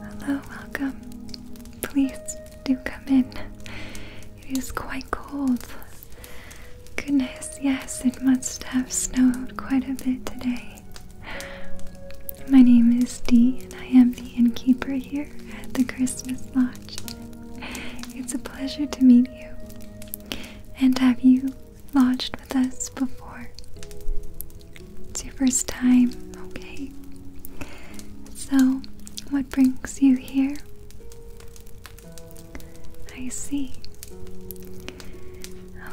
Hello, welcome. Please do come in. It is quite cold. Goodness, yes, it must have snowed quite a bit today. My name is Dee, and I am the innkeeper here at the Christmas Lodge. It's a pleasure to meet you. And have you lodged with us before. It's your first time, okay? So, what brings you here? I see.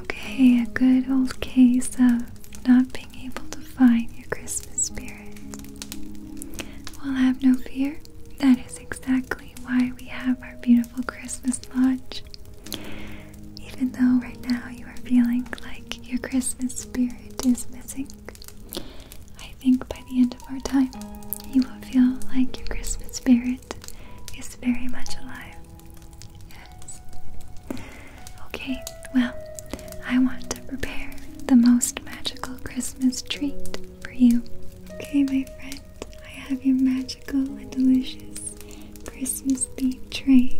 Okay, a good old case of not being able to find your Christmas spirit. Well, have no fear. That is exactly why we have our beautiful. Christmas lodge. Even though right now you are feeling like your Christmas spirit is missing, I think by the end of our time, you will feel like your Christmas spirit is very much alive. Yes. Okay, well, I want to prepare the most magical Christmas treat for you. Okay, my friend. I have your magical and delicious Christmas themed tray.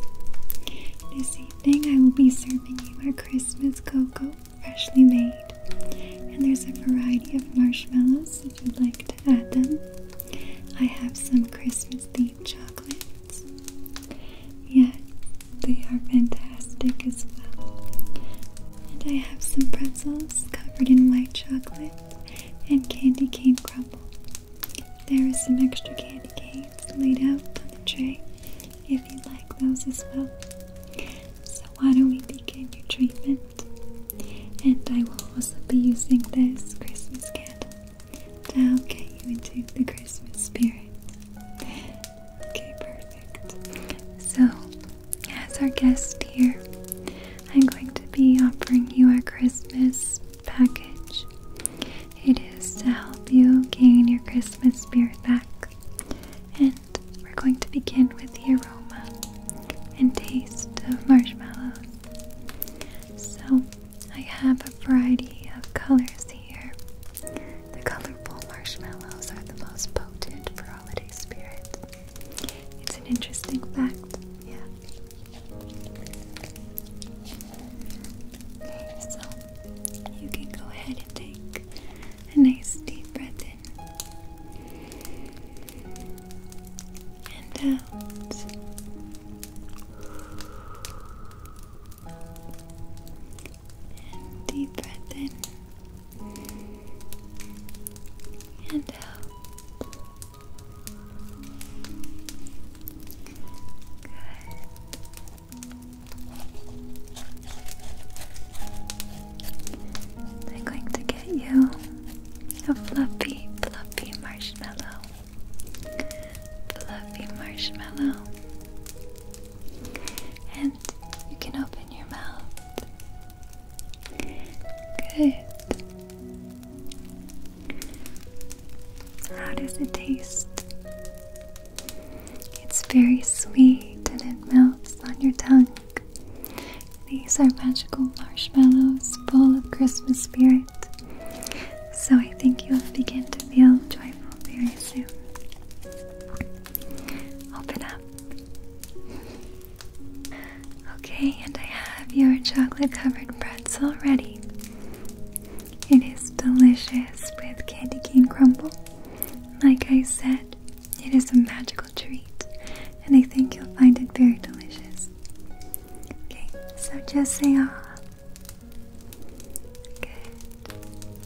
This evening, I will be serving you our Christmas cocoa, freshly made. And there's a variety of marshmallows if you'd like to add them. I have some Christmas themed chocolates. Yeah, they are fantastic as well. And I have some pretzels covered in white chocolate and candy cane crumble. There is some extra candy canes laid out on the tray if you'd like those as well. So why don't we begin your treatment? And I will also be using this Christmas candle to help get you into the Christmas spirit. Okay, perfect. So, as our guest here, I'm going to be offering you our Christmas package. It is to help you gain your Christmas spirit back. And we're going to begin with the aroma and taste of marshmallows. So, I have a variety of colors here. The colorful marshmallows are the most potent for holiday spirit. It's an interesting fact, yeah. So you can go ahead and take a nice deep breath in and out. And deep breath in and out. I'm going to get you a fluffy, fluffy marshmallow. Fluffy marshmallow. And you can open your mouth. Good. How does it taste? It's very sweet and it melts on your tongue. These are magical marshmallows full of Christmas spirit. So I think you'll begin to feel joyful very soon. Open up. Okay, and I have your chocolate covered pretzel ready. It is delicious with candy cane crumble. Like I said, it is a magical treat, and I think you'll find it very delicious. Okay, so just say ah. Okay,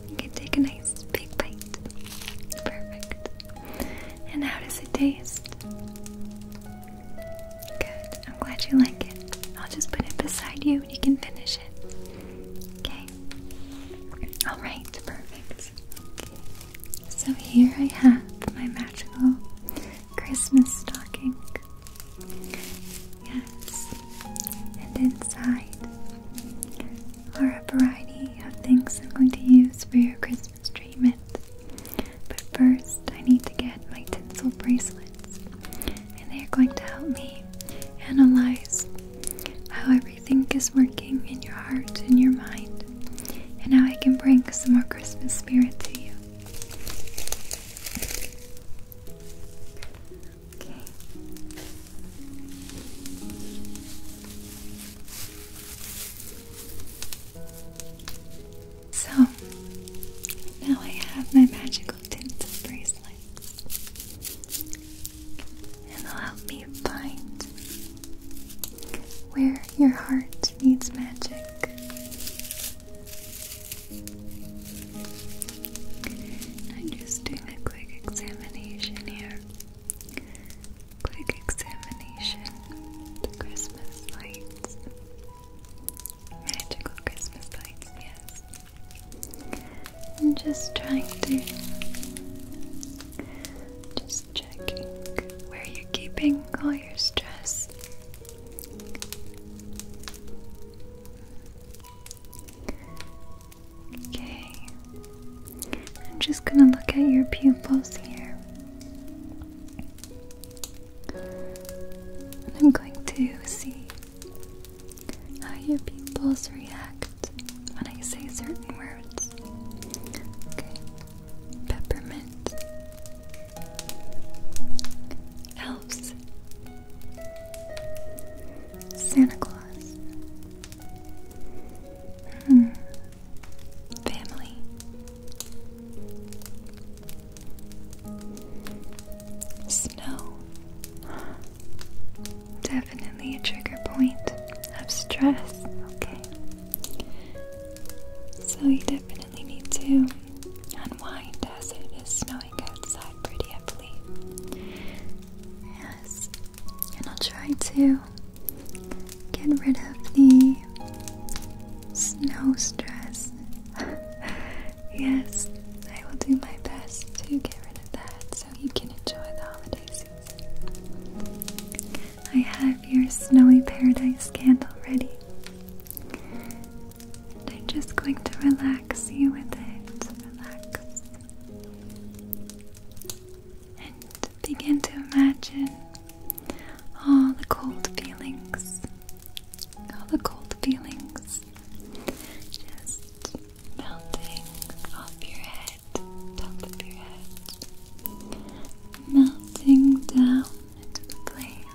You can take a nice big bite. Perfect. And how does it taste? Good. I'm glad you like it. I'll just put it beside you and you can finish it. Okay. Alright, perfect. Okay. So here I have my magical Christmas stocking. Yes. And inside are a variety of things I'm going to use for your Christmas treatment. But first, I need to get my tinsel bracelets, and they are going to help me analyze how everything is working in your heart and your mind, and how I can bring some more Christmas spirit to you. Okay. So now I have my magical tinsel bracelet, and it'll help me find where your heart needs magic. I'm just doing a quick examination here. Quick examination. The Christmas lights. Magical Christmas lights, yes. I'm just trying to just checking where you're keeping all your stress. Okay. I'm just gonna look at your pupils here. I'm going to see how your pupils react when I say certain words. Okay. Peppermint. Elves. Santa Claus. Hmm. Family. Snow. Definitely a trigger point of stress, okay? So you definitely need to unwind as it is snowing outside pretty heavily. Yes, and I'll try to get rid of the snow stress Yes, I will do my best to get rid of that so you can enjoy the holiday season. I have your snowy paradise candle ready. And I'm just going to relax you with it. And begin to imagine all the cold feelings all the cold feelings just melting off your head, top of your head, melting down into the plane.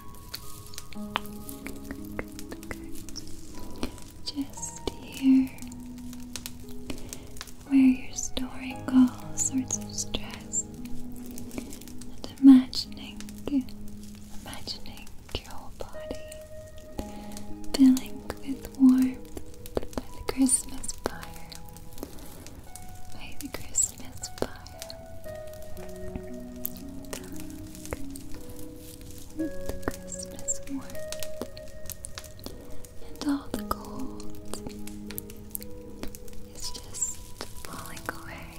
Just here where you're storing all sorts of stress and imagining imagining your body filling with warmth by the Christmas fire. By the Christmas fire. Filling with the Christmas warmth and all the gold is just falling away.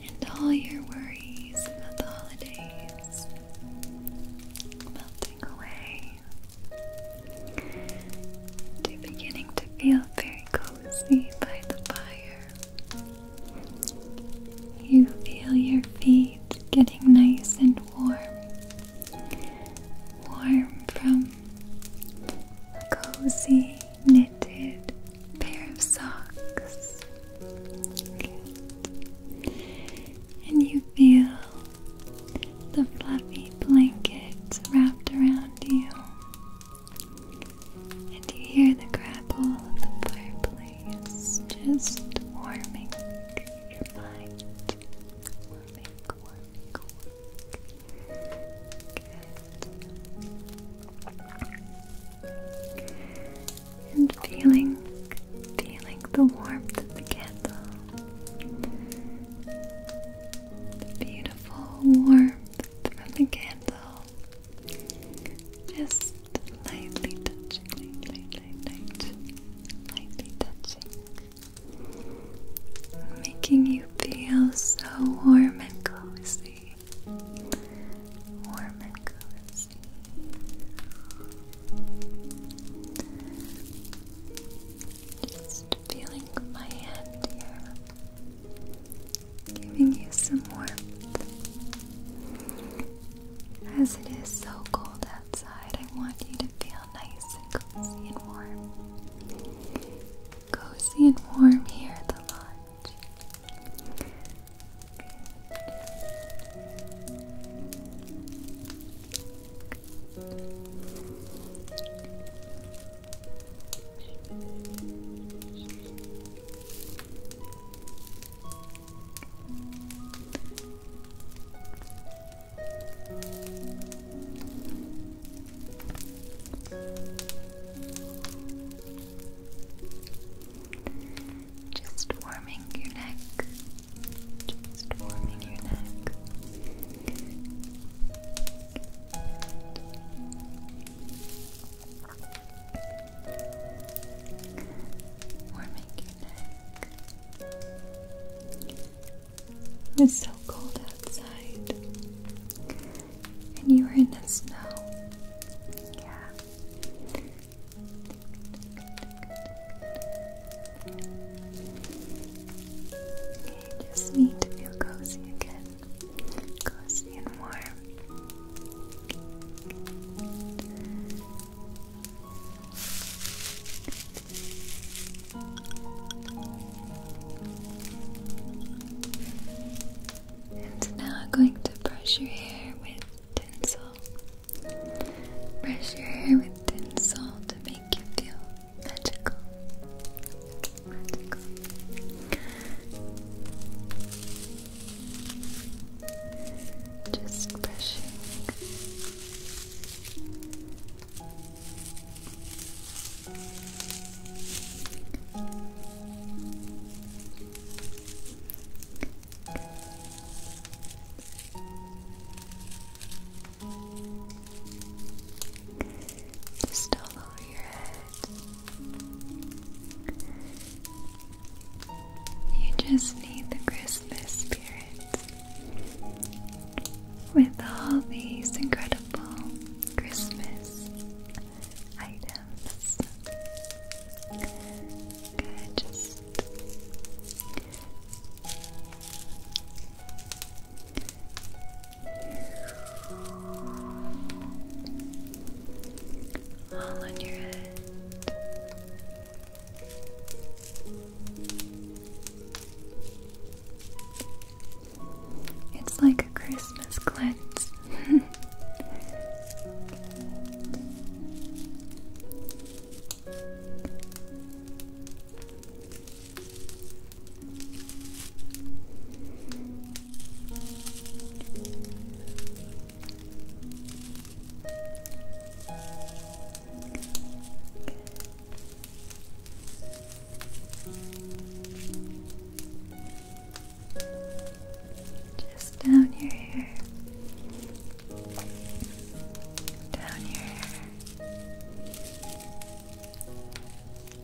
And all your worries about the holidays melting away. You're beginning to feel very cozy cozy by the fire. You feel your feet getting nice and warm. Warm from a cozy knitted pair of socks. And you feel the fluffy blanket wrapped around you. And you hear the crackle of the fireplace just warming your mind. And feeling, feeling the warmth of the candle. The beautiful warmth warmth from the candle. Just lightly touching, light, light, light, Lightly touching. Making you feel so warm and cozy. Warm and cozy. Just feeling my hand here, giving you some warmth. As it is so cold outside, I want you to feel nice and cozy and warm. Cozy and warm here at the lodge. Just warming your neck. Just warming your neck. Warming your neck. It's so cold outside. And you are in the snow. Yeah. just need to feel cozy again cozy and warm. And now I'm going to brush your hair with tinsel. Brush your hair with tinsel to make you feel magical. Let's Just brushing. Just all over your head. You just need the Christmas spirit with all these incredible Christmas items. Good, it's like a Christmas cleanse. Just down your hair, down your hair. Just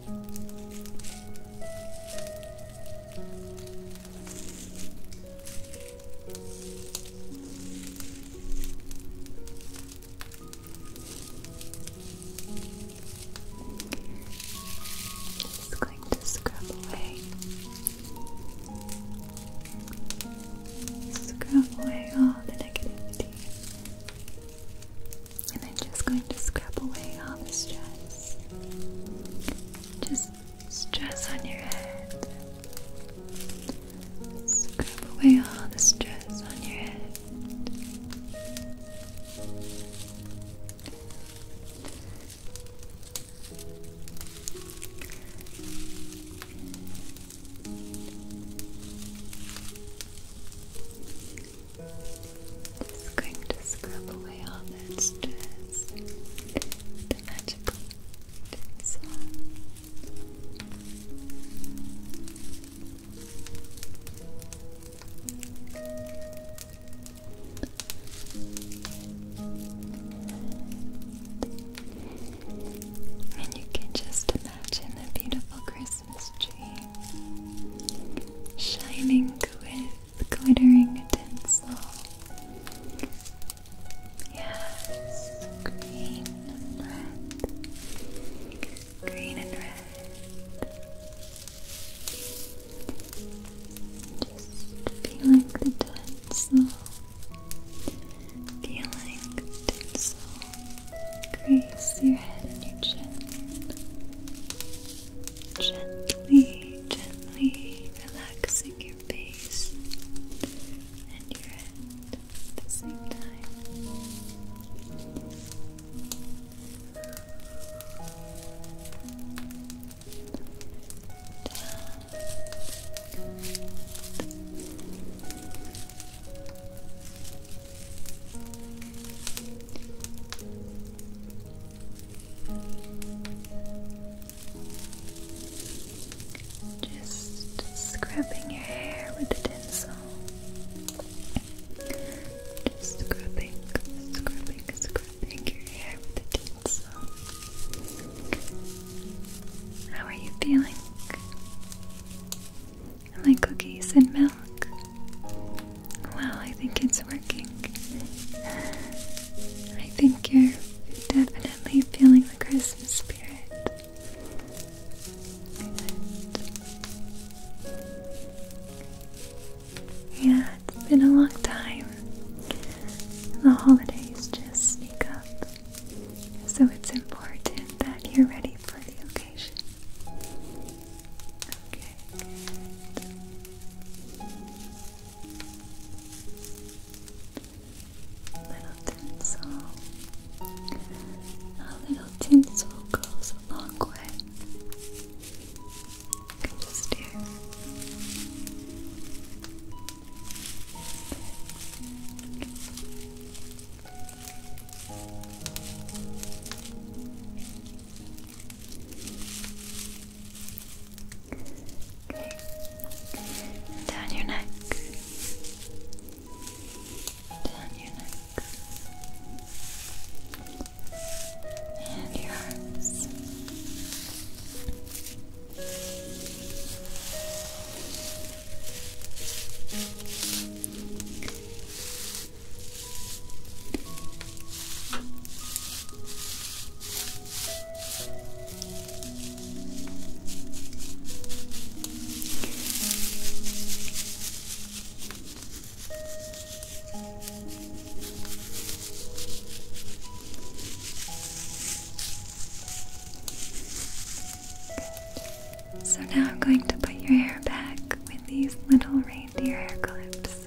going to scrub away, scrub away all the negativity and I'm just going to scrub away all the stress. Just stress on your head. Scrub away all the stress on your head. Just going to scrub away all that stress. The magical tinsel. And you can just imagine a beautiful Christmas tree shining with the glittering tinsel. Yes, green and red. Green and red. Just feeling the tinsel. Feeling the tinsel. Grace your head and your chin. Gently, gently relaxing your face and your head at the same time. Just scrubbing your hair with a tinsel. Just scrubbing, scrubbing, scrubbing your hair with a tinsel. How are you feeling? my cookies and milk? milk. I think it's working. I think you're definitely feeling the Christmas spirit. Yeah, it's been a long time. The holidays just sneak up. So it's important that you're ready for the occasion. Okay. Little tinsel. A little tinsel goes a long way. You just hear down your neck. Down your neck. And your arms. So now I'm going to put your hair back with these little reindeer hair clips.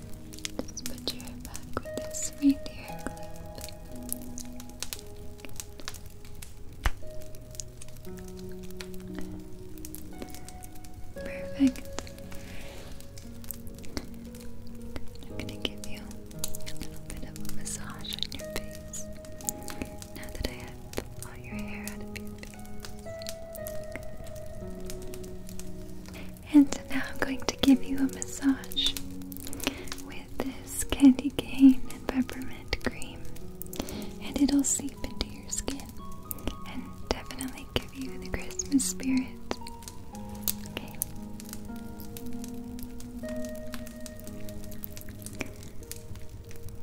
Just put your hair back with this reindeer clip. Perfect. I'm gonna give you a little bit of a massage on your face now that I have all your hair out of your face. And now I'm going to give you a massage with this candy cane and peppermint cream. And it'll seep into your skin and definitely give you the Christmas spirit.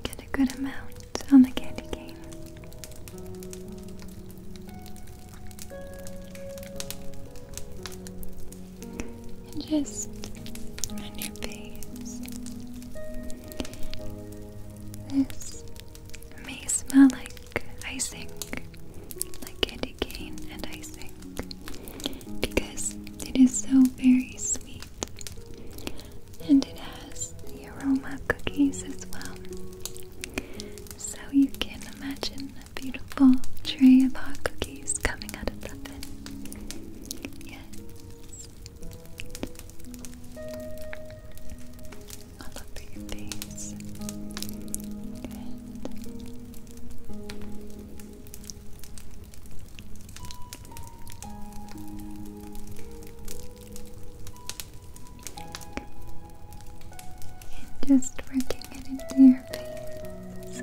Get a good amount on the candy cane. And just on your face. This may smell like icing, like candy cane and icing, because it is so very sweet. And it has the aroma cookies as well. So you can imagine beautiful tray of hot cookies coming out of the oven. Yes. All over your face just working it your face.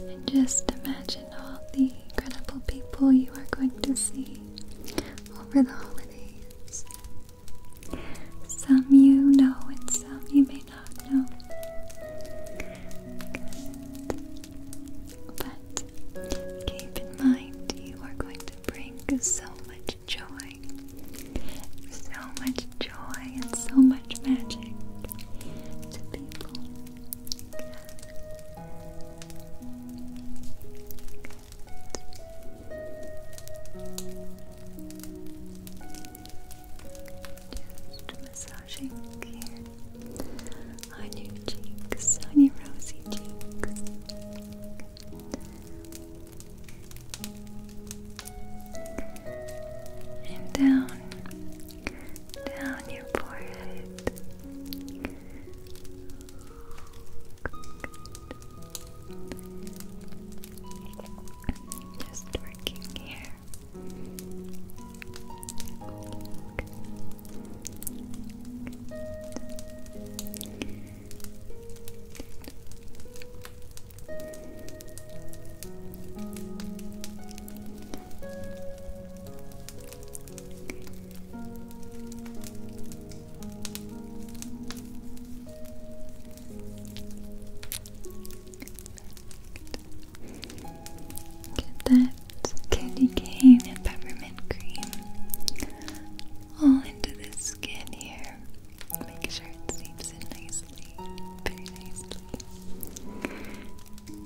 And just imagine all the incredible people you are going to see over the holidays. Some you know and some you may not know. But keep in mind you are going to bring so much joy, so much joy, and so much magic to people. Just massaging here on your cheeks, on your rosy cheeks and down, down your forehead. Just working here. Get that candy cane and peppermint cream all into the skin here. Make sure it seeps in nicely, very nicely.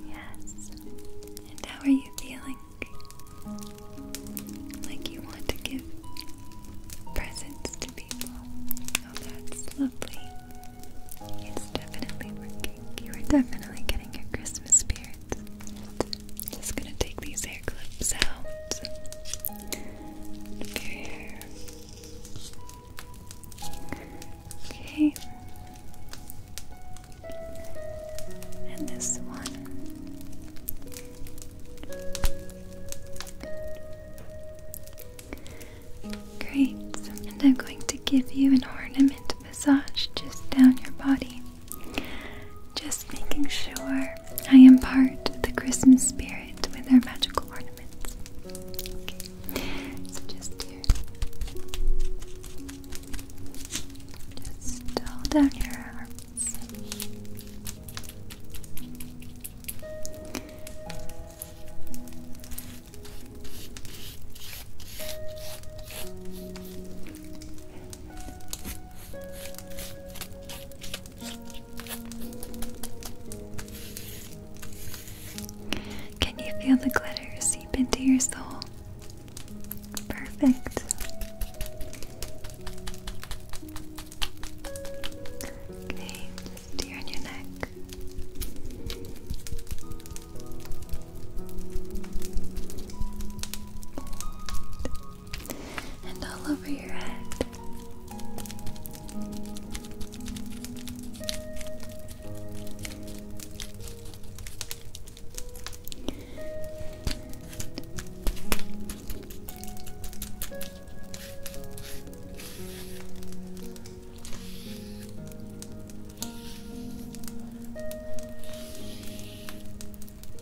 Yes. And how are you feeling? Like you want to give presents to people. Oh, that's lovely. It's definitely working. You are definitely getting your Christmas spirit. Just gonna take these hair clips out of Okay. And this one. Great. And I'm going to give you an ornament massage just down your body. Just making sure year, I impart the Christmas spirit with our magical ornaments. just Just all down your arms. Can you feel the glitter seep into your soul? Perfect. Okay, here on your neck and all over your head.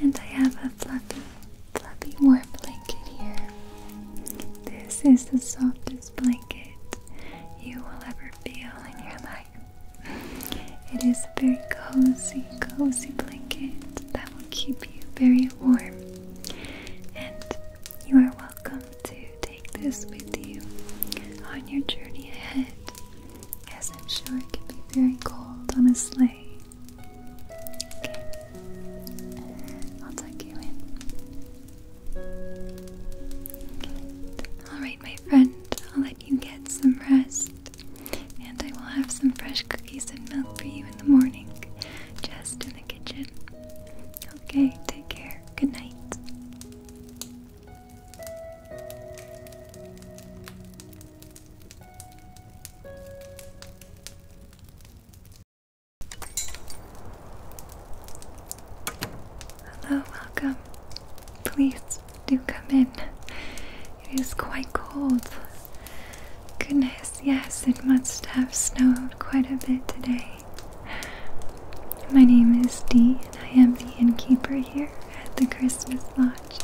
And I have a fluffy, fluffy warm blanket here. This is the softest blanket you will ever feel in your life. It is a very cozy, cozy blanket that will keep you very warm. And you are welcome to take this with you on your journey ahead. Yes, I'm sure it can be very cold on a sleigh. I'll tuck you in. Alright, my friend, I'll let you get some rest, and I will have some fresh cookies and milk for you in the morning, just in the kitchen. Okay, take care. Good night. Hello, welcome. Please do come in. It is quite cold. Goodness, yes, it must have snowed quite a bit today. My name is Dee, and I am the innkeeper here at the Christmas Lodge.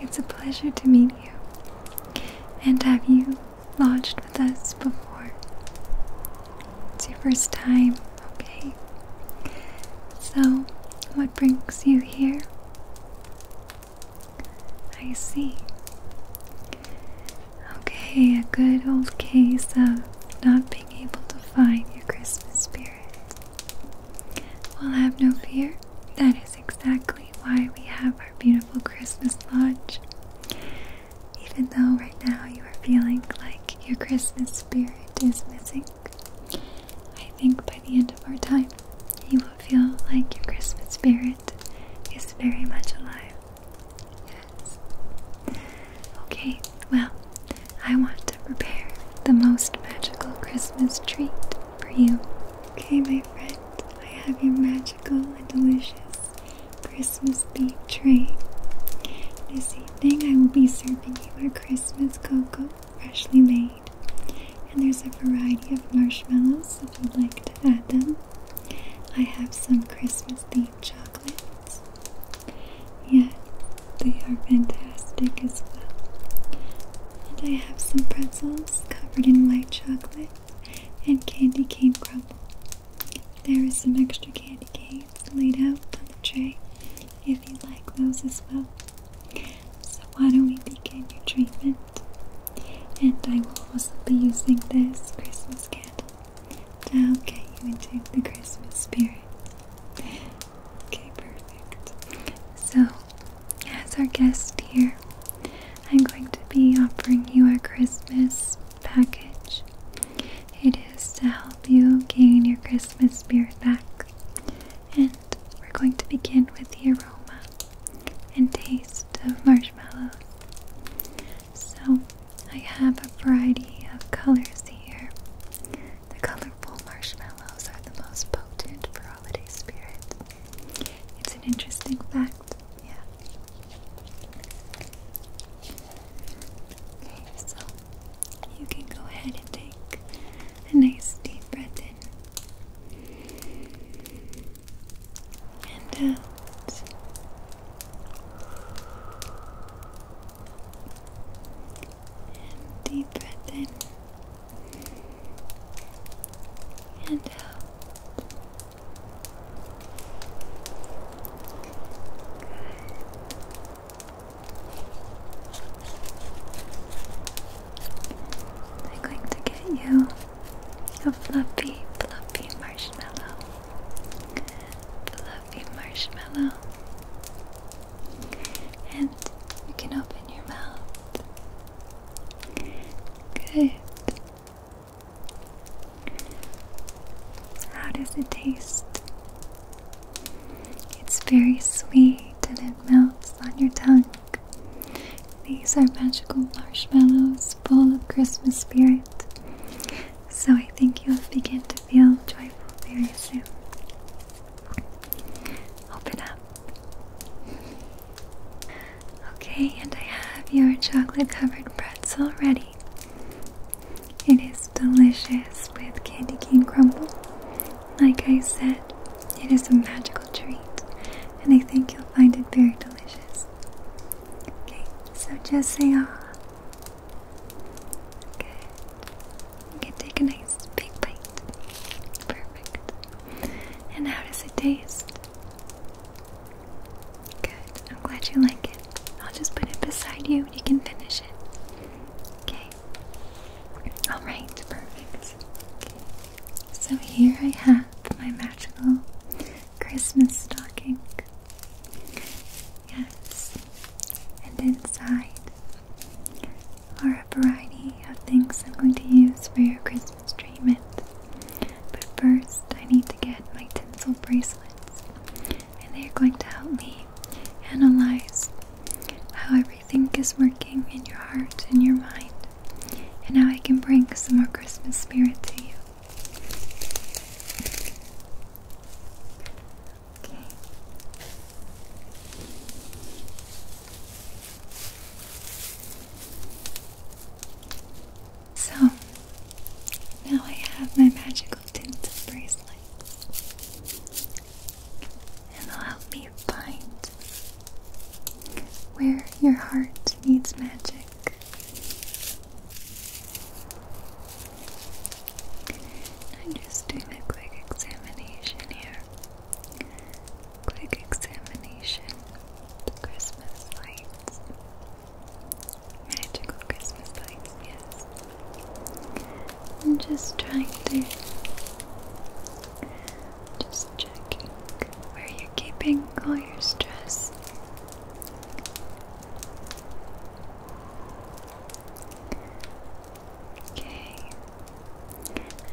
It's a pleasure to meet you. And have you lodged with us before? It's your first time, okay? So, what brings you here? I see. Okay, a good old case of not being able to find your Christmas spirit. Well, have no fear. That is exactly why we have our beautiful Christmas lodge. Even though right now you are feeling like your Christmas spirit is missing, I think by the end of our time, you will feel like your Christmas spirit is very much alive. Yes. Okay, well, I want to prepare the most magical Christmas treat for you. Okay, my friend, I have your magical and delicious Christmas bean tray. This evening, I will be serving you our Christmas cocoa, freshly made. And there's a variety of marshmallows if you'd like to add them. I have some Christmas themed chocolates. Yeah, they are fantastic as well. And I have some pretzels covered in white chocolate and candy cane crumble. There is some extra candy canes laid out on the tray if you like those as well. So why don't we begin your treatment? And I will also be using this Christmas candle to help get you into the Christmas spirit. Okay, perfect. So, as our guest here, I'm going to be offering you our Christmas package. It is to help you gain your Christmas spirit back. And we're going to begin with the aroma and taste of marshmallows. So, I have a variety of colors here. The colorful marshmallows are the most potent for holiday spirit. It's an interesting fact, yeah. Okay, so you can go ahead and take a nice deep breath in and out. Uh, and deep breath in. And out. I'm going to get you a fluffy, fluffy marshmallow. Fluffy marshmallow. And you can open your mouth. Good. How does it taste? It's very sweet and it melts on your tongue. These are magical marshmallows full of Christmas spirit. So I think you'll begin to feel joyful very soon. Open up. Okay, and I have your chocolate covered pretzel ready. It is delicious with candy cane crumble. Like I said, it is a magical treat, and I think you'll find it very delicious. Okay, so just say ah. Okay. You can take a nice big bite. Perfect. And how does it taste? Good. I'm glad you like it. I'll just put it beside you and you can finish it. Okay. Alright, perfect. So here I have my magical Christmas stocking. Yes, and inside are a variety of things I'm going to use for your Christmas treatment. But first, I need to get my tinsel bracelets, and they're going to help me analyze how everything is working in your heart and your mind, and how I can bring some more Christmas spirit to you. So now I have my magical tinted bracelets, and they'll help me find where your heart needs magic. I'm just doing a quick examination here. Quick examination. Christmas lights. Magical Christmas lights, yes. I'm just trying to. Just checking where you're keeping all your stress. Okay.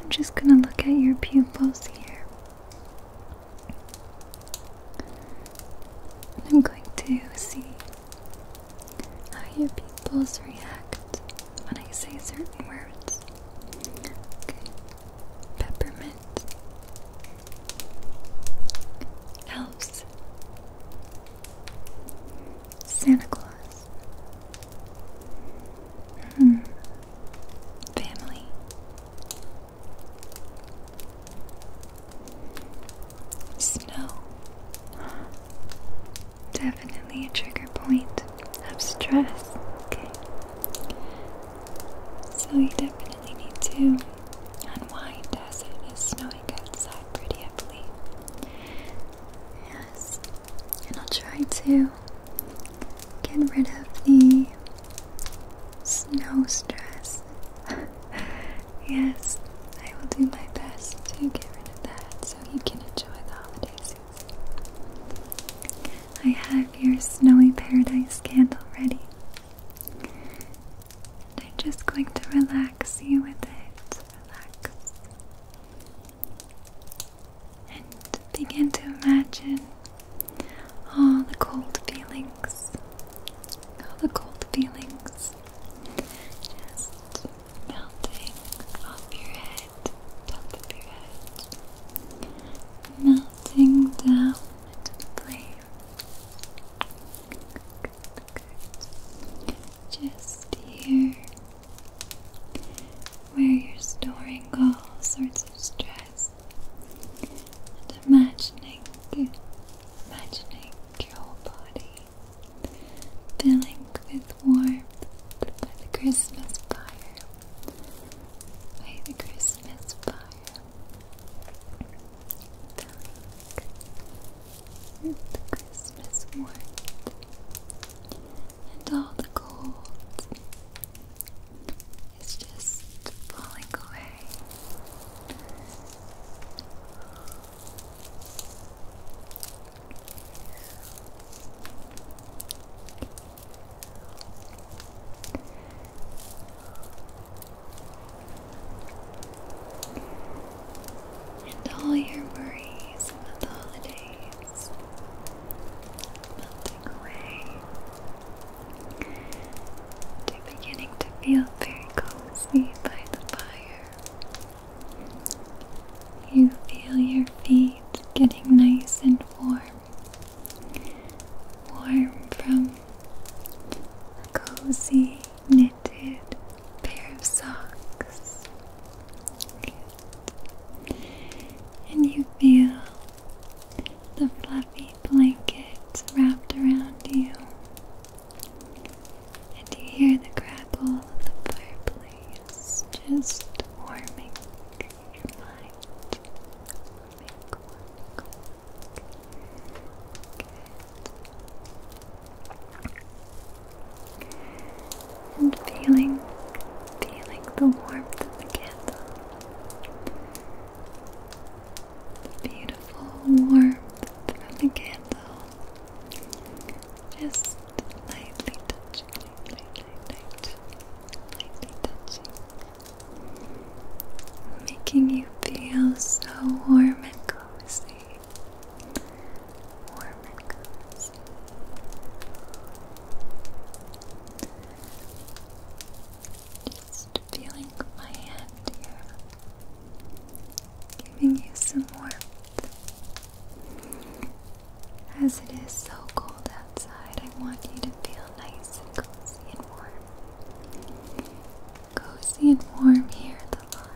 I'm just gonna look at your pupils here. I'm going to see how your pupils react when I say certain words. Okay. Peppermint. Elves. Santa Claus. Hmm. Family. Snow. Definitely a trigger point of stress. So you definitely need to unwind as it is snowing outside pretty heavily. Yes. And I'll try to get rid of the snow stress. yes, I will do my best to get rid of that so you can enjoy the holiday season. I have your snowy paradise candle ready. And I'm just going to relax you with it relax. And begin to imagine all the cold feelings, all the cold feelings just melting off your head, top of your head, melting down into the flame. Just here where you're storing all sorts of stress and imagining, imagining your whole body filling with warmth by the Christmas fire, by the Christmas fire, Christmas warmth and all the cold is just falling away and all your worries about the holidays melting away. You're beginning to feel very cozy by the fire. You feel your feet getting nice and warm. Warm from cozy, knitted pair of socks. And you feel the fluffy blankets wrapped around you. And you hear the crackle of the fireplace just warming your mind and feeling, feeling the warmth of the candle. The beautiful warmth of the candle. Just lightly touching, lightly touching. Making you feel so warm and cozy warm and cozy. Just feeling my hand here, giving you some warmth. As it is so cold outside, I want you to feel nice and cozy and warm. Cozy and warm here at the lodge.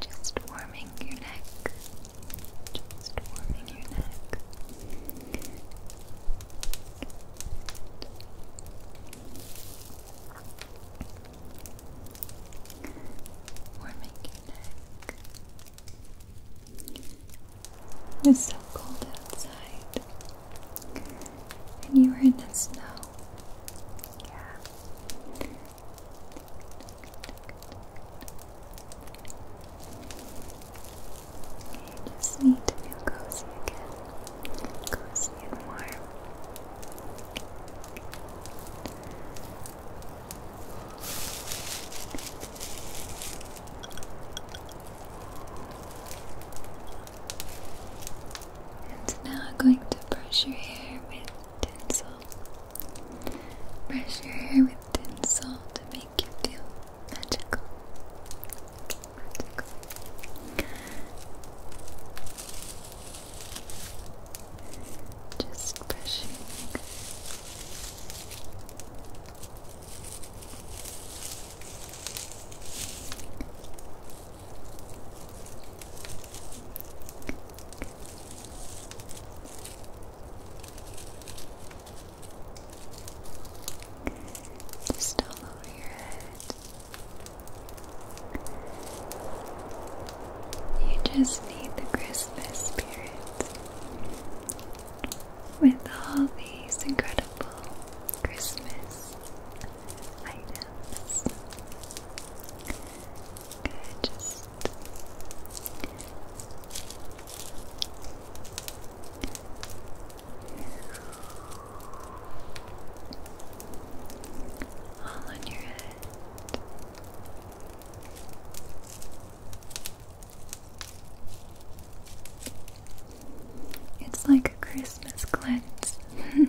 Just warming your neck. Just warming your neck. Warming your neck. It's so cold outside. And you were in the snow. Yeah. You just need to feel cozy again, cozy and warm. And now I'm going to brush your hair with tinsel. Brush your hair with tinsel to make you feel magical. Just brush just all over your head. You just need the Christmas spirit. With all these incredible Christmas items all on your head. It's like a Christmas cleanse.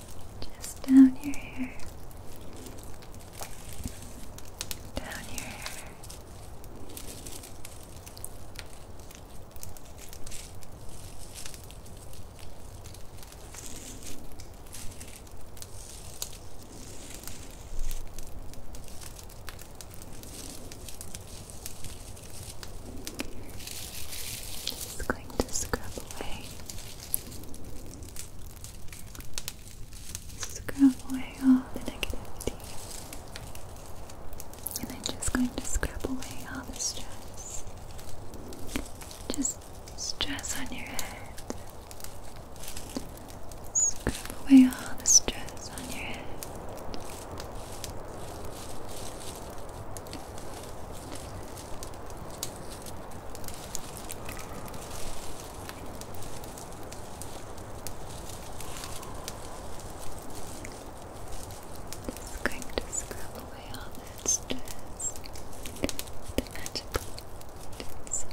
just down your hair, down your hair. Just going to scrub away Scrub away all the negativity. And I'm just going to scrub away all the stress. Just stress on your head. Scrub away all the stress on your head. Just going to scrub away all that stress, the magical things. Just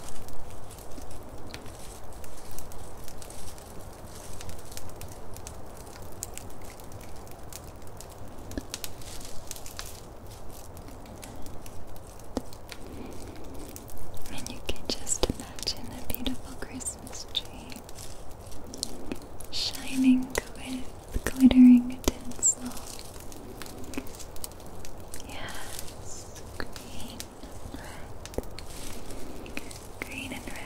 and you can just imagine a beautiful Christmas tree shining with glittering tinsel. Yes, green, red, green and red.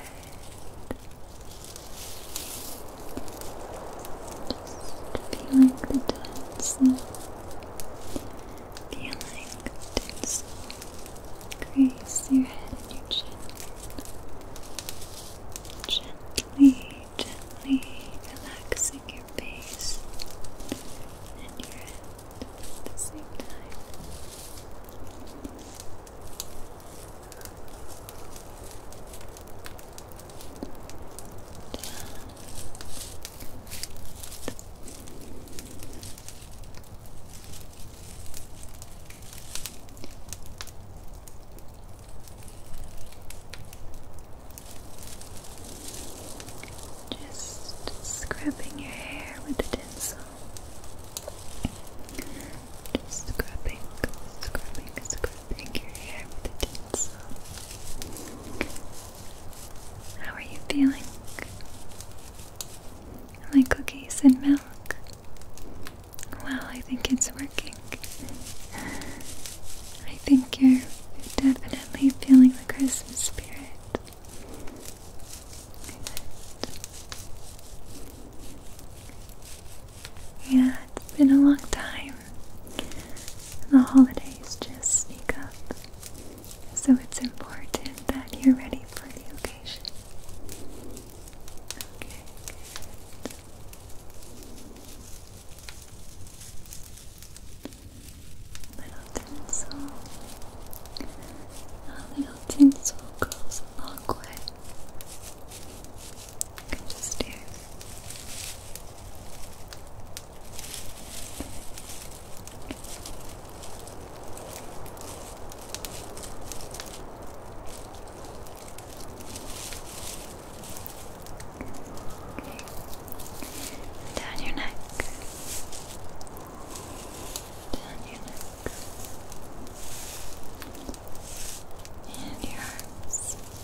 Feeling the tensile. Feeling the tensile. Grace your head and your Gently, gently relaxing your face and your head at the same time. Just scrubbing your hair with a tinsel. Just scrubbing, scrubbing, scrubbing your hair with a tinsel. How are you feeling? My cookies and milk. Well, I think it's working. I think you're definitely feeling the Christmas spirit. Yeah, it's been a long time. The holidays just sneak up, so it's important that you're ready for the occasion. Okay, Little tinsel. A little tinsel goes a long way. Down your neck. Down your neck. And your arms.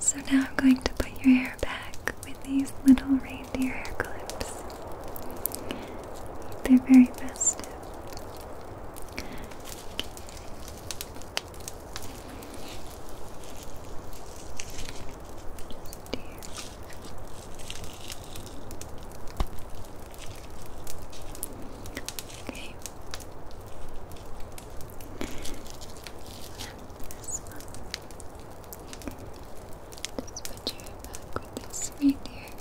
So now I'm going to put your hair back with these little reindeer hair clips. They're very festive. Okay. And Just put your back with this reindeer clip.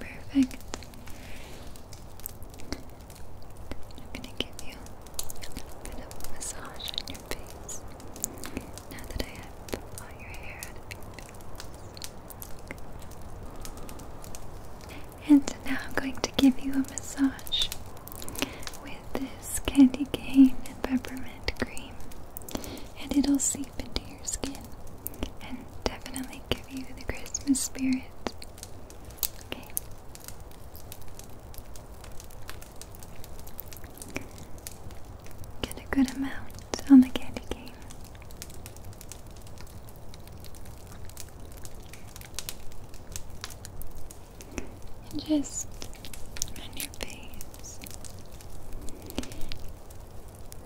Perfect. I'm gonna give you and so now I'm going to give you a massage with this candy cane and peppermint cream. And it'll seep into your skin and definitely give you the Christmas spirit. Okay. Get a good amount on the candy cane. just on your face.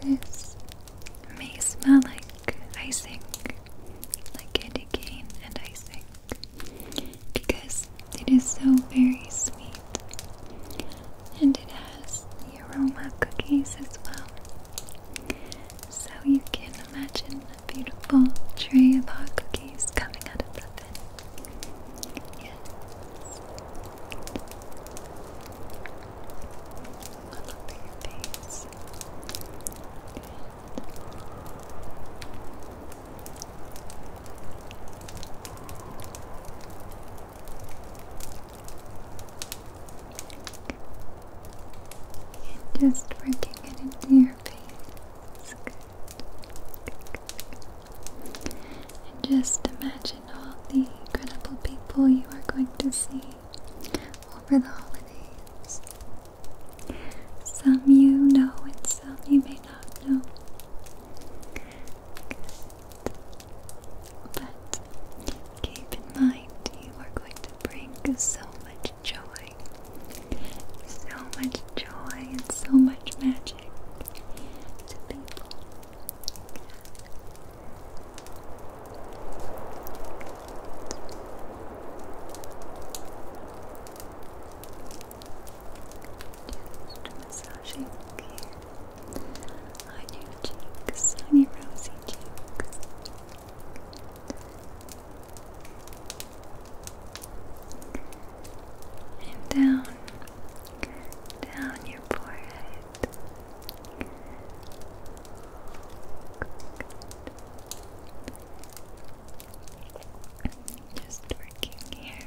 This may smell like icing, like candy cane and icing, because it is so very sweet. And it has the aroma cookies as well. So you can imagine a beautiful tray of cookies coming out of the bin. Yes. All over your face. And just working it into your face. And just imagine all the incredible people you are going to see over the holidays. Some you know and some you may not not But keep in mind, you are going to bring so much joy. So much joy and so much magic to people. Just massaging here on your cheeks, on your rosy cheeks. And down, down your forehead. Just working here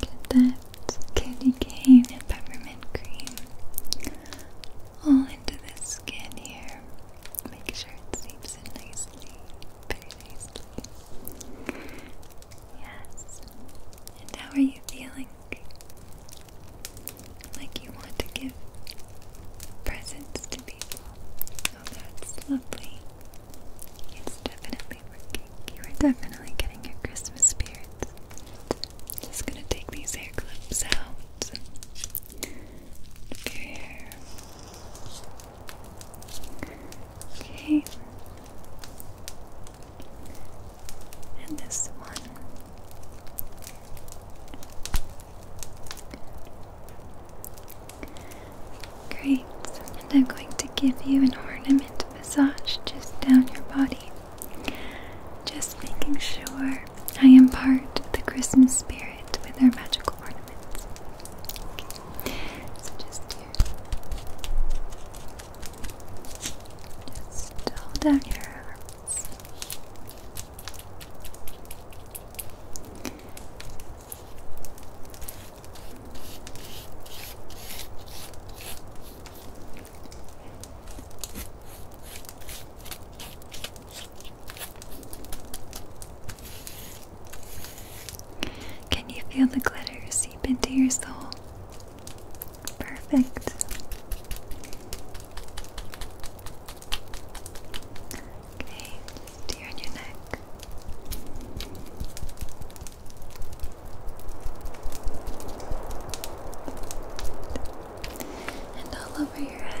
Get that candy cane and peppermint cream all into the skin here. Make sure it seeps in nicely, very Yes. And how are you feeling? Like you want to give presents to people that's lovely. It's definitely working. You are definitely getting your Christmas spirit. Just gonna take these hair clips out. Look Okay. And this one. Great. And I'm going to give you an ornament massage just down your body. Just making sure I impart the Christmas spirit with our magical ornaments. So just Just hold out your arms. Can you feel the glitter seep into your soul? Perfect. Okay, here in your neck. And all over your head.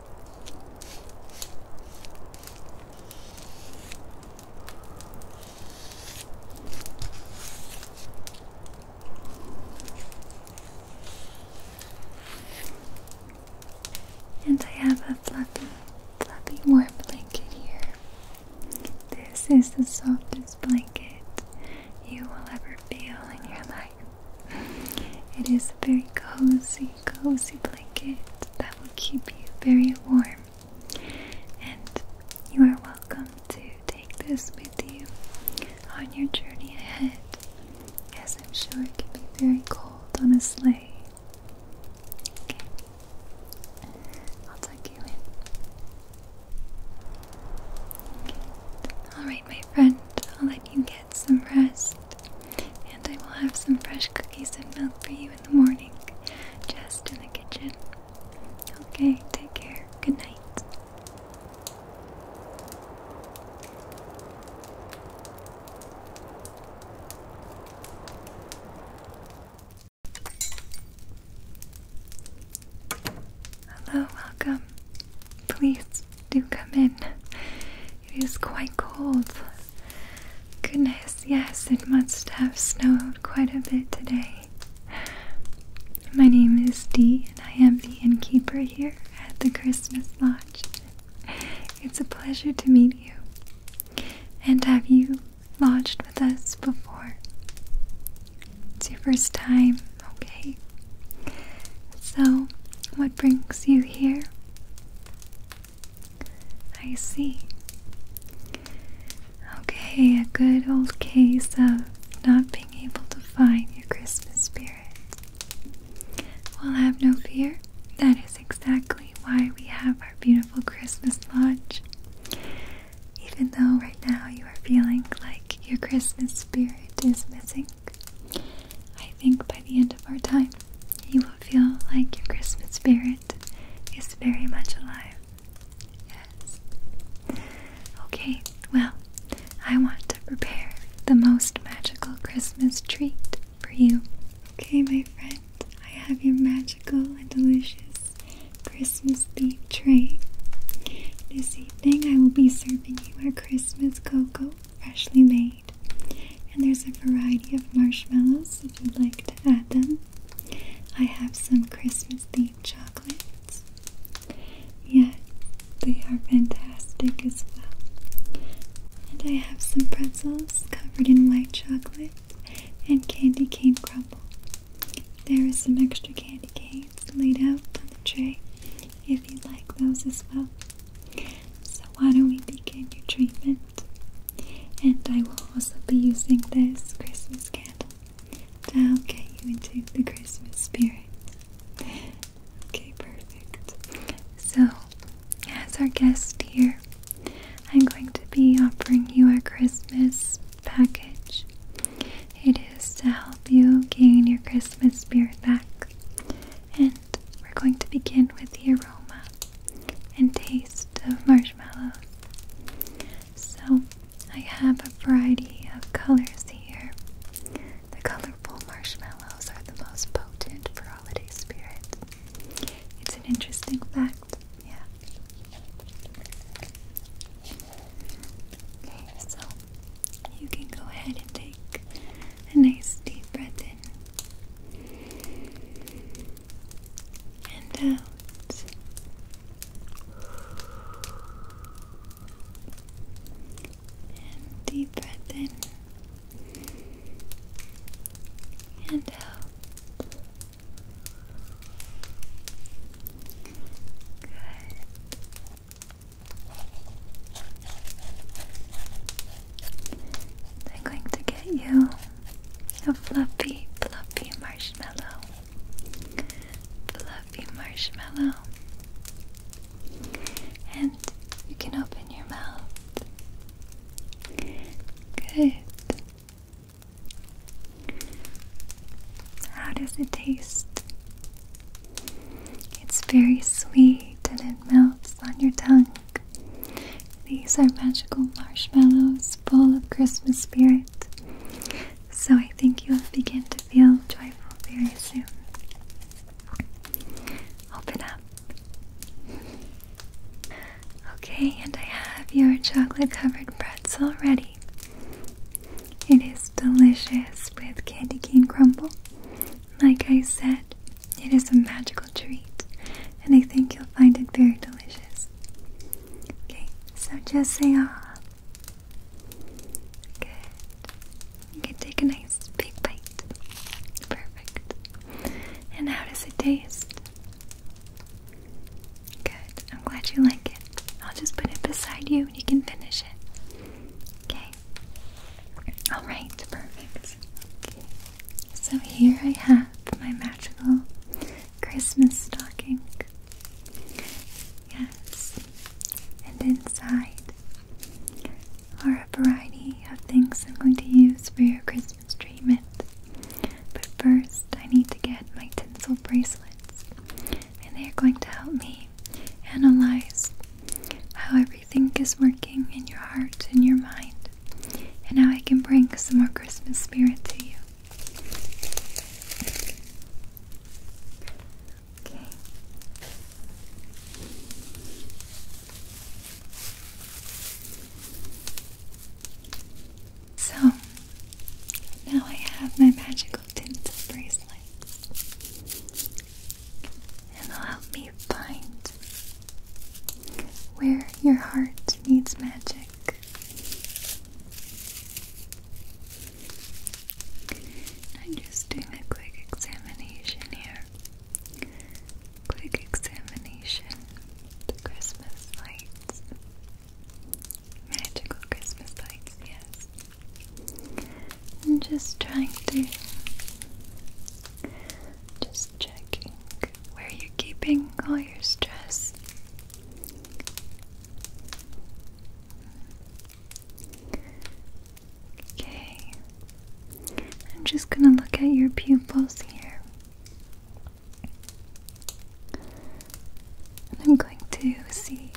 And I have a fluffy, fluffy warm blanket here. This is the softest blanket you will ever feel in your life. It is very cozy very cozy blanket that will keep you very warm. And you are welcome to take this with you on your journey ahead, as I'm sure it can be very cold on a sleigh. Okay, I'll tuck you in. Okay. Alright, my friend, I'll let you get some rest. And I will have some fresh cookies and milk for you in the morning, just in the kitchen. Okay, take care. Good night. Hello, welcome. Please do come in. It is quite cold. Goodness, yes, it must have snowed quite a bit today. My name is Dee, and I am the innkeeper here at the Christmas Lodge. It's a pleasure to meet you. And have you lodged with us before? It's your first time, okay? So, what brings you here? I see. Okay, a good old case of not being able to find your Christmas spirit. Well, have no fear. That is exactly why we have our beautiful Christmas lodge. Even though right now you are feeling like your Christmas spirit is missing, I think by the end of our time, you will feel like your Christmas spirit is very much alive. Yes. Okay, well, I want to prepare the most magical Christmas treat for you. Okay, my friend, I have your magical and delicious Christmas themed tray. This evening, I will be serving you our Christmas cocoa, freshly made. And there's a variety of marshmallows if you'd like to add them. I have some Christmas themed chocolates. Yeah, they are fantastic as well. And I have some pretzels covered in white chocolate and candy cane crumble. There are some extra candy canes laid out on the tray if you'd like those as well. So, why don't we begin your treatment? And I will also be using this Christmas candle to help get you into the Christmas spirit. Okay, perfect. So, as our guest here, I'm going to be offering you our Christmas package. It is to help you gain your Christmas spirit back and we're going to begin with the aroma and taste of marshmallows. So I have a variety of colors here. The colorful marshmallows are the most potent for holiday spirit. It's an interesting fact, yeah. Okay, so you can go ahead and take a nice deep breath in and out. And deep breath in and out. Good. I'm going to get you a fluffy, fluffy marshmallow. Fluffy marshmallow. And you can open your mouth. Good. How does it taste? It's very sweet and it melts on your tongue. These are magical marshmallows full of Christmas spirit. So I think you'll begin to feel joyful very soon. Open up. Okay, and I have your chocolate covered pretzel ready. It is delicious with candy cane crumble. Like I said, it is a magical treat, and I think you'll find it very delicious. Okay, so just say ah. Good. You can take a nice big bite. Perfect. And how does it taste? Good. I'm glad you like it. I'll just put it beside you and you can finish it. Okay. Alright, perfect. So here I have my magical Christmas stocking. Yes. And inside are a variety of things I'm going to use for your Christmas treatment. But first, I need to get my tinsel bracelets, and they're going to help me analyze how everything is working in your heart and your mind and now I can bring some more Christmas spirit to you. Okay. So, now I have my magical tinsel bracelets. And they'll help me find where your heart needs magic. I'm just doing a quick examination here. Quick examination. The Christmas lights. Magical Christmas lights, yes. I'm just trying to. Just checking Look where you're keeping all your stress. Okay. I'm just going to look at your pupils here. And I'm going to see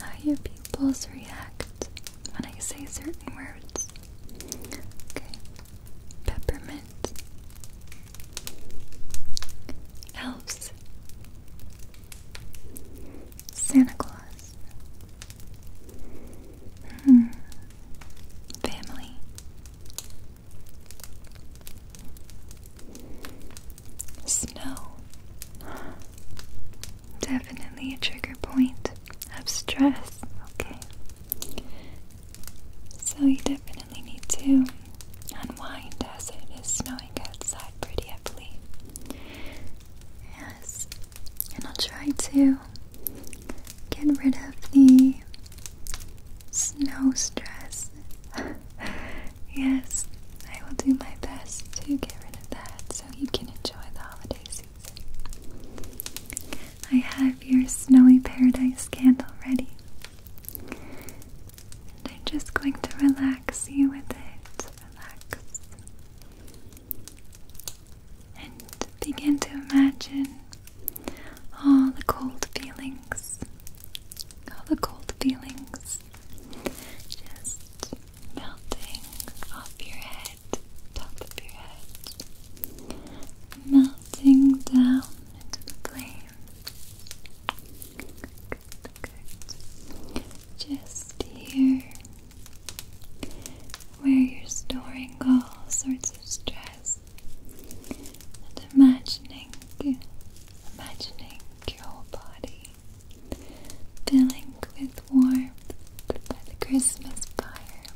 how your pupils react when I say certain words. Okay peppermint, elves, Santa Claus, hmm, family, snow. Definitely a trigger point of stress, okay. So you definitely need to unwind as it is snowing outside pretty heavily. Yes, and I'll try to get rid of the snow stress. yes, I will do my best to get rid of that so you can enjoy the holiday season. I have your snowy paradise candle ready. And I'm just going to relax you with it. Relax. And begin to imagine all the cold feelings. All the cold feelings just melting off your head top of your head, melting down into the flame. Just here, where you're storing all sorts of stress and imagining, imagining your body filling with warmth by the Christmas fire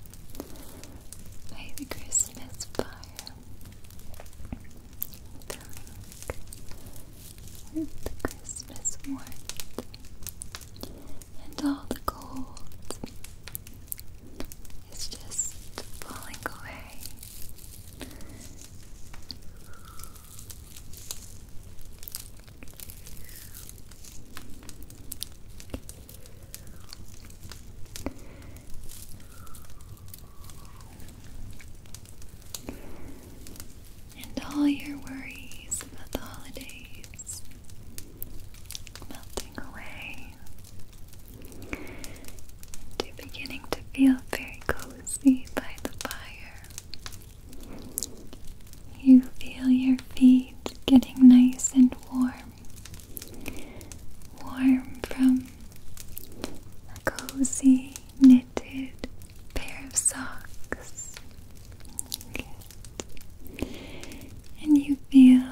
by the Christmas fire. the Christmas warmth and all the cold is just falling away. And all your worries about the holidays melting away. you're beginning to feel very cozy by the fire. You feel your feet getting nice and warm warm from a cozy knitted pair of socks. And you feel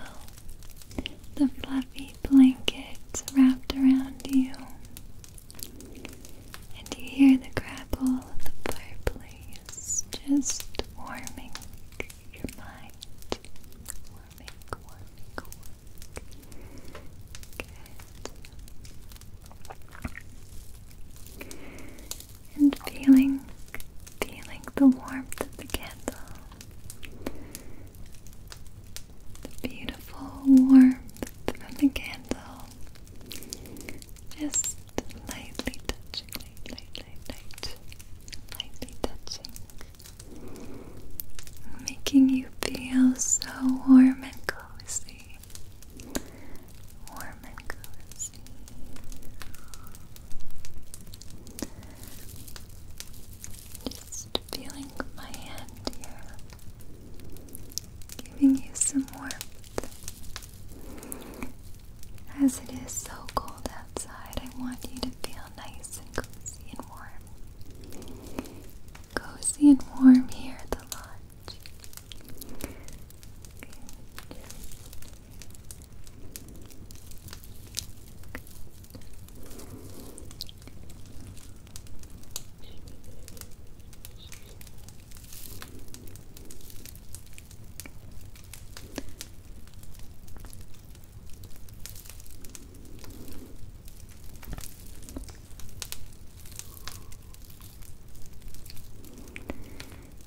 the fluffy blankets wrapped around you. And you hear the crackle of the fireplace just warming your mind and feeling, feeling the warmth of the candle. The beautiful warmth from the candle. Just lightly touching, Lightly touching making you feel so warm and cozy. Warm and cozy. Just feeling my hand here, giving you some warmth. As it is so cold outside, I want you to feel nice and cozy and warm. here at the lodge.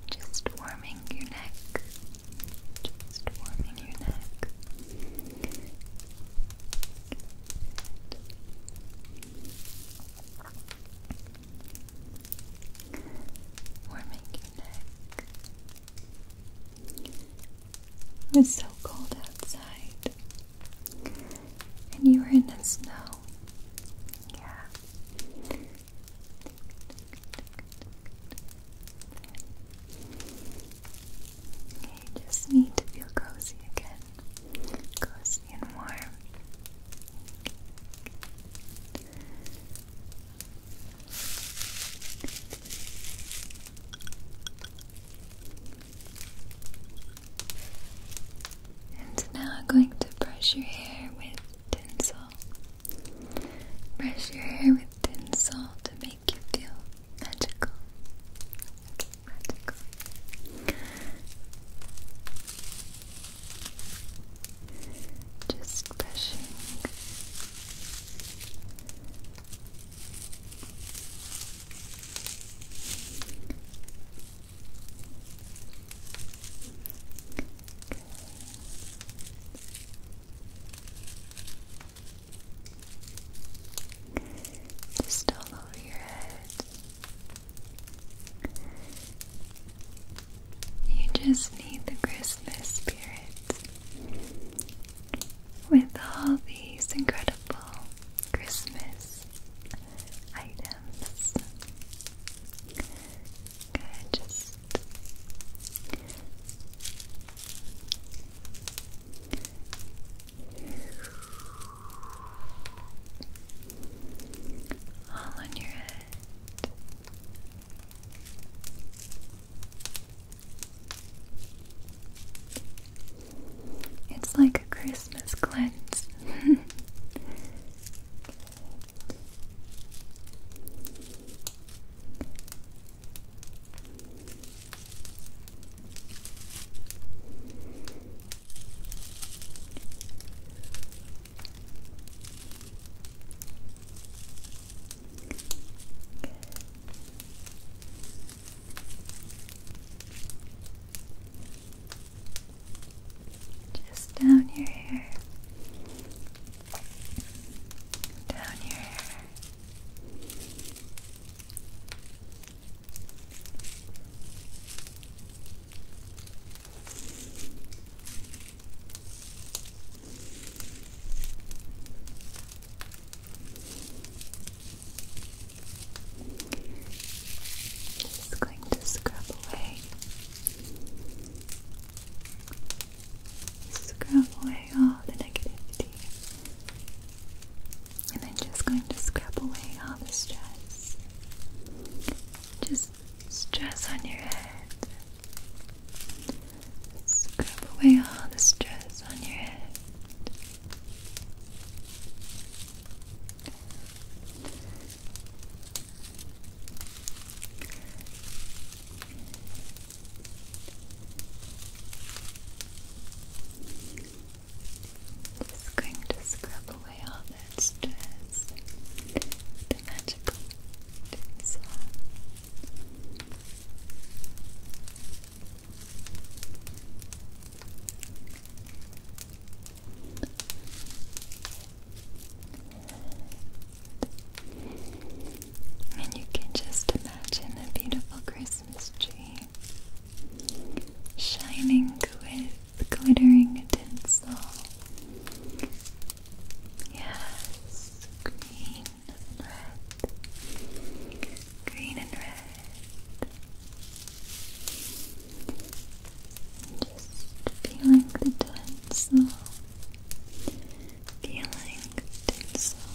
Just warming your neck. Just warming your neck. Good. Warming your neck. It's so cold outside. And you were in the snow. Yeah. you just need to feel cozy again. Cozy and warm. And now I'm going to brush your hair with tinsel. Brush your hair with tinsel to make you feel magical. magical. Just brushing just all over your head. You just need the Christmas spirit with all these incredible Christmas items. just all on your head. It's like a Christmas cleanse. Just down your hair. Down your hair. Just going to scrub away, scrub away all the negativity, and then just going to scrub away all the stress. Just stress on your head. Scrub away all the stress on your head. Just going to scrub away all that stress the magical tinsel. And you can just imagine a beautiful Christmas tree shining with glittering tinsel. Yes, green green and red. Green and red. Just feeling the tinsel. Feeling the tinsel.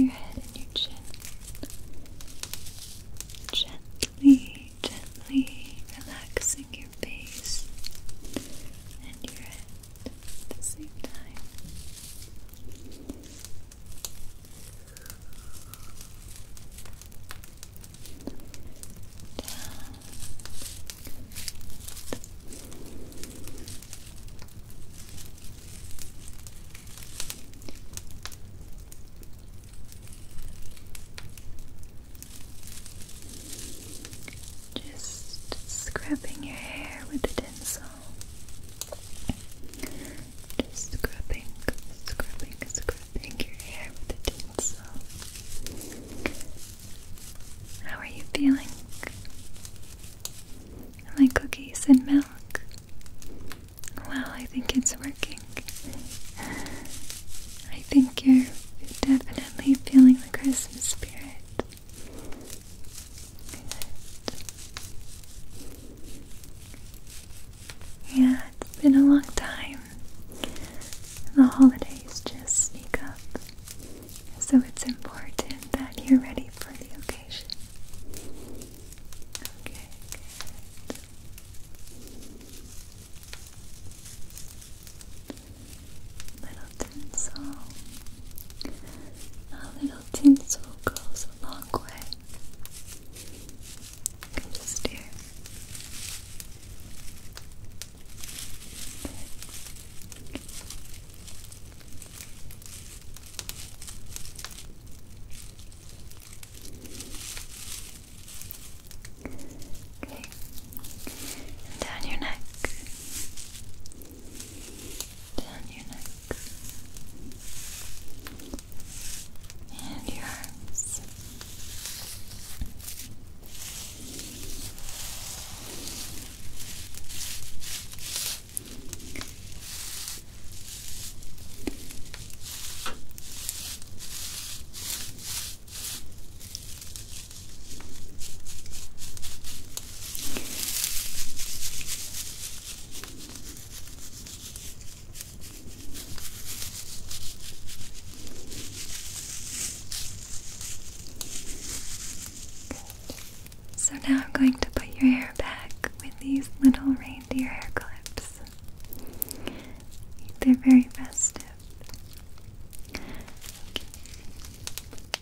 your head and your chin. Gently, gently relaxing your face and your head. Just scrubbing your hair with a tinsel. Just scrubbing, scrubbing, scrubbing your hair with a tinsel. How are you feeling? like cookies and milk. Well, I think it's working. I think you're definitely feeling the Christmas spirit. Yeah, it's been a long time. The holidays just sneak up. So it's important that you're ready for the occasion. Okay, tinsel. A little tinsel goes a long way. You just hear. Okay. down your neck down your neck and your arms. So now I'm going to put your hair back with these little reindeer hair clips. They're very festive. Just here. Okay. And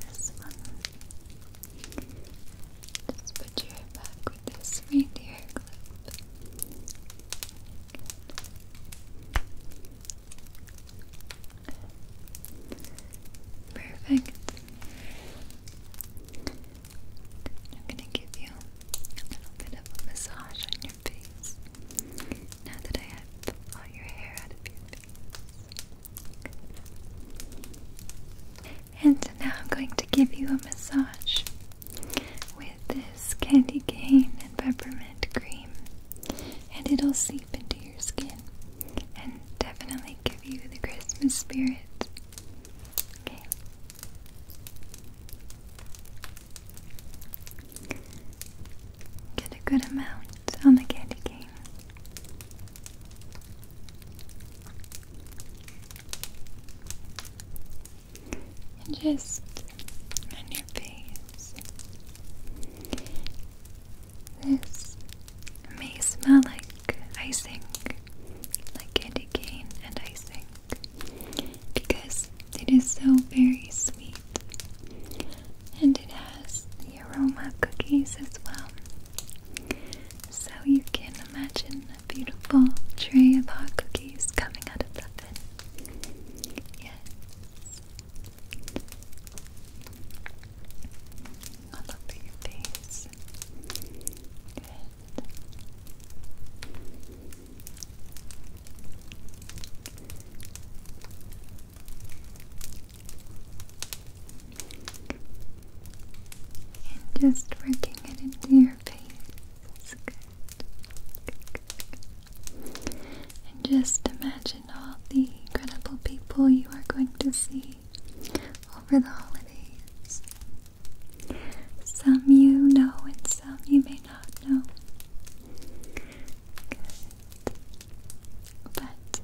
this one. Just put your hair back with this reindeer clip. Perfect. I'm going to give you a little bit of a massage on your face now that I have all your hair out of your face. And so now I'm going to give you a massage with this candy cane and peppermint cream, and it'll seep into your skin and definitely give you the Christmas spirit. Okay. Get a good amount on the candy cane. And just on your face. This may smell like icing, like candy cane and icing, because it is so very sweet. And it has the aroma of cookies as well. So you can imagine a beautiful tray of hot cookies coming out of the oven. Yes. I look at your face. Good. And just working it into your face. good. And just imagine imagine all the incredible people you are going to see over the holidays. Some you know and some you may not know. But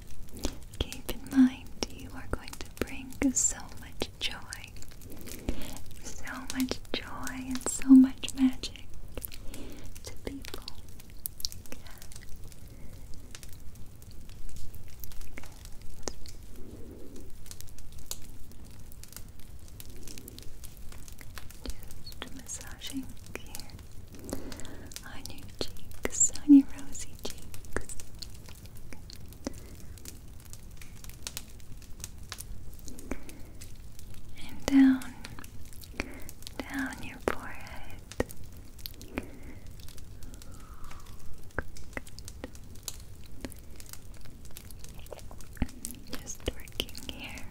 keep in mind you are going to bring so much joy. So much joy and so much magic to people. Just massaging here on your cheeks, on your rosy cheeks. And down, down your forehead, Good. Just working here.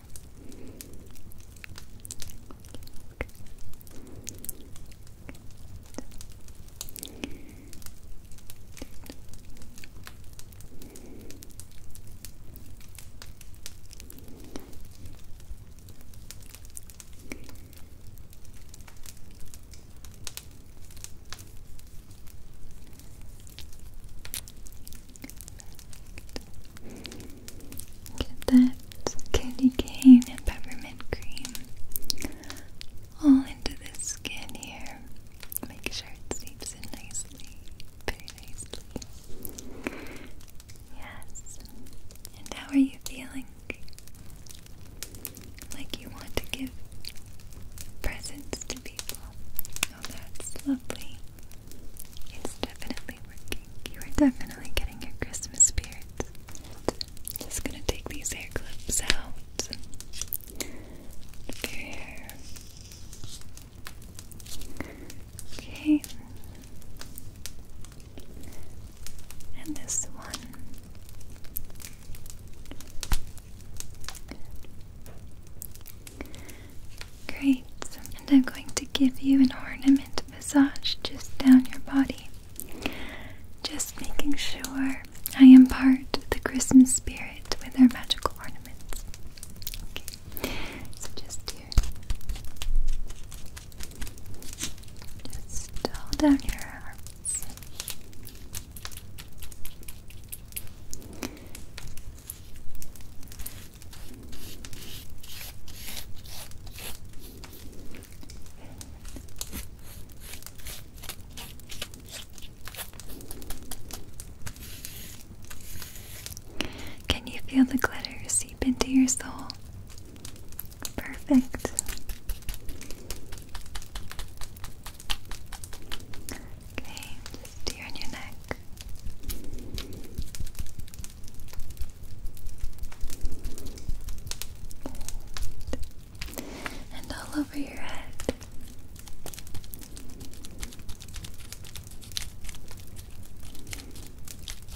Get that candy cane and peppermint cream all into the skin here. Make sure it seeps in nicely, very nicely. Yes. And how are you feeling like you want to give presents to people. Oh, that's lovely. It's definitely working. You are definitely getting your Christmas spirit. Just gonna take these hair clips out of Okay and this one. Great, and I'm going to give you an ornament massage just down your body. Just making sure I impart the Christmas spirit with our magical ornaments. Okay, so just here. Just all down your arms. Can you feel the glitter seep into your soul? Perfect. Okay, just here on your neck. And all over your head.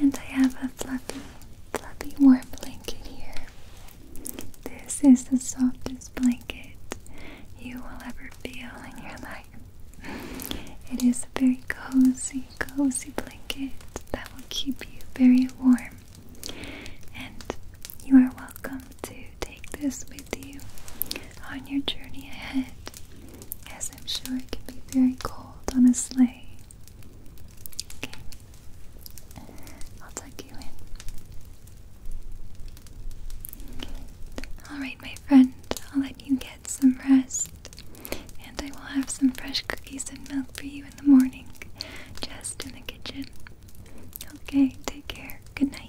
And I have a fluffy, fluffy warm blanket here this is the softest blanket you will ever feel in your life. It is a very cozy, cozy blanket that will keep you very warm. And you are welcome to take this with you on your journey ahead, as I'm sure it can be very cold on a sleigh. I'll tuck you in. Alright, my friend, I'll let you get some rest. And I will have some fresh cookies and milk for you in the morning, just in the kitchen. Okay, take care. Good night.